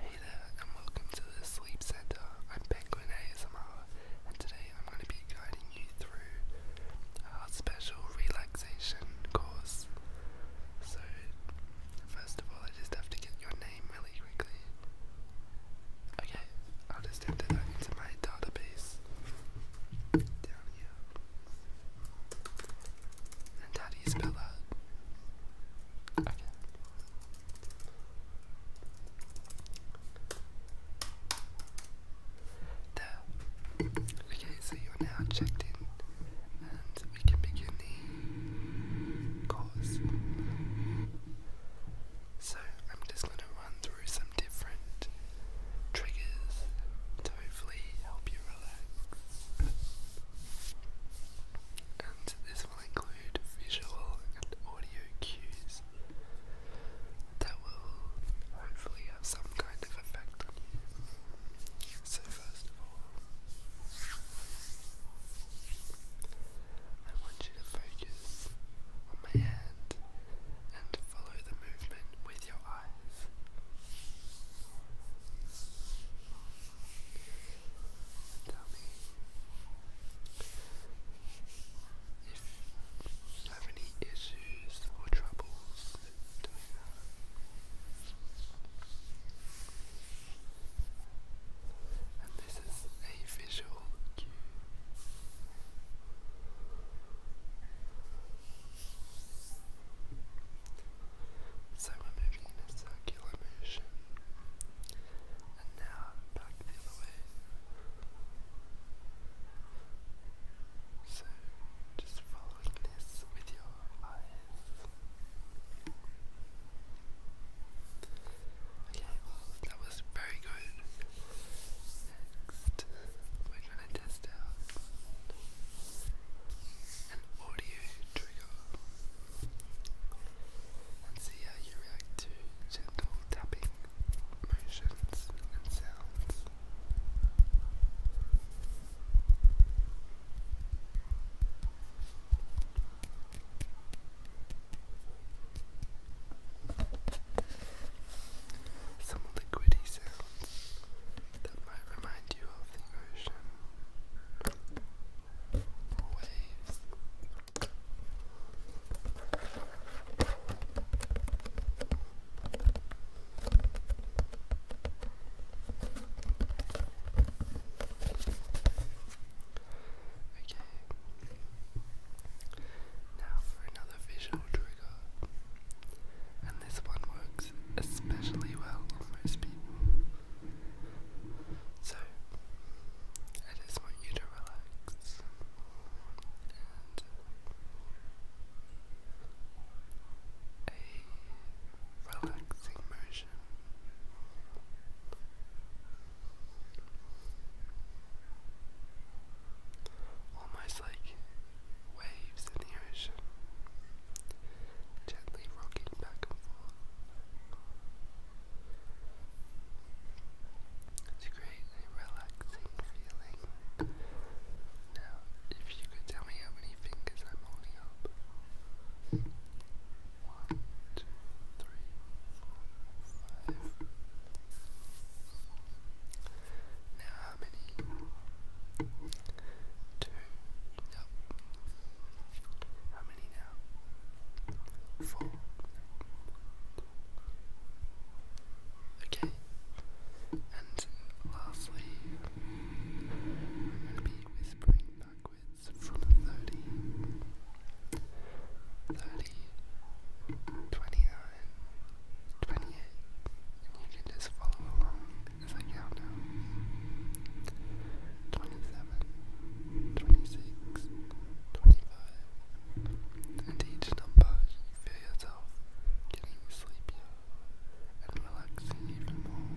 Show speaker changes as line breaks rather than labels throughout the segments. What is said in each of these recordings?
Hey there, and welcome to the Sleep Center. I'm Penguin ASMR, and today I'm going to be guiding you through our special relaxation course. So, first of all, I just have to get your name really quickly. Okay, I'll just enter that into my database down here. And how do spell that? Okay. There. Okay, so you're now checked in, and we can begin the course. So, I'm just going to run through some different triggers to hopefully help you relax and this will include visual and audio cues that will hopefully have some kind of effect on you. So, first of all, I want you to focus on my hand and follow the
movement with your eyes. Tell you have any issues or troubles And this is a
visual cue. So we're moving in a circular motion.
And now back the other way. So just following this with your eyes. Okay, well that was very good. Next, gonna test out uh, an audio trigger and see how you react to gentle tapping motions and sounds.
Some liquidy sounds that might remind you of the ocean waves. Okay. Now for another visual trigger this one works especially well on most people. So, I just want you to relax and a relaxing motion. Almost like waves in the ocean, gently rocking back and forth to create a relaxing feeling. Now, if you could tell me how many fingers I'm holding up. One, two, three,
four, five. Now how many? Two. Yep. How many now? Four. Okay. And lastly, I'm be whispering backwards from 30, 30, 29, 28. And you can just follow along as I count down. 27, 26, each number, you feel yourself getting sleepier and relaxing even more.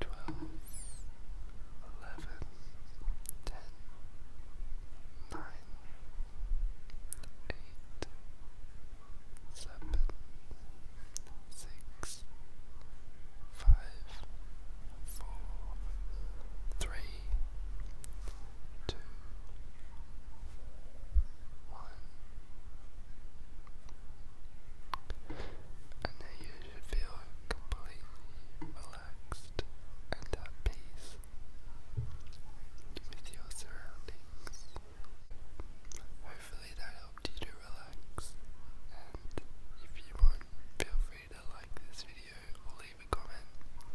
twelve, eleven, ten, nine, eight, seven, six, five, four, three, two, one. And there you you should feel completely relaxed and at peace with your surroundings. Hopefully that helped you to relax and if you want, feel free to like this video or leave a comment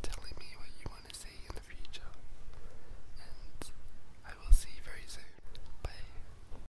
telling me what you want to see in the future and I will see you very soon. Bye.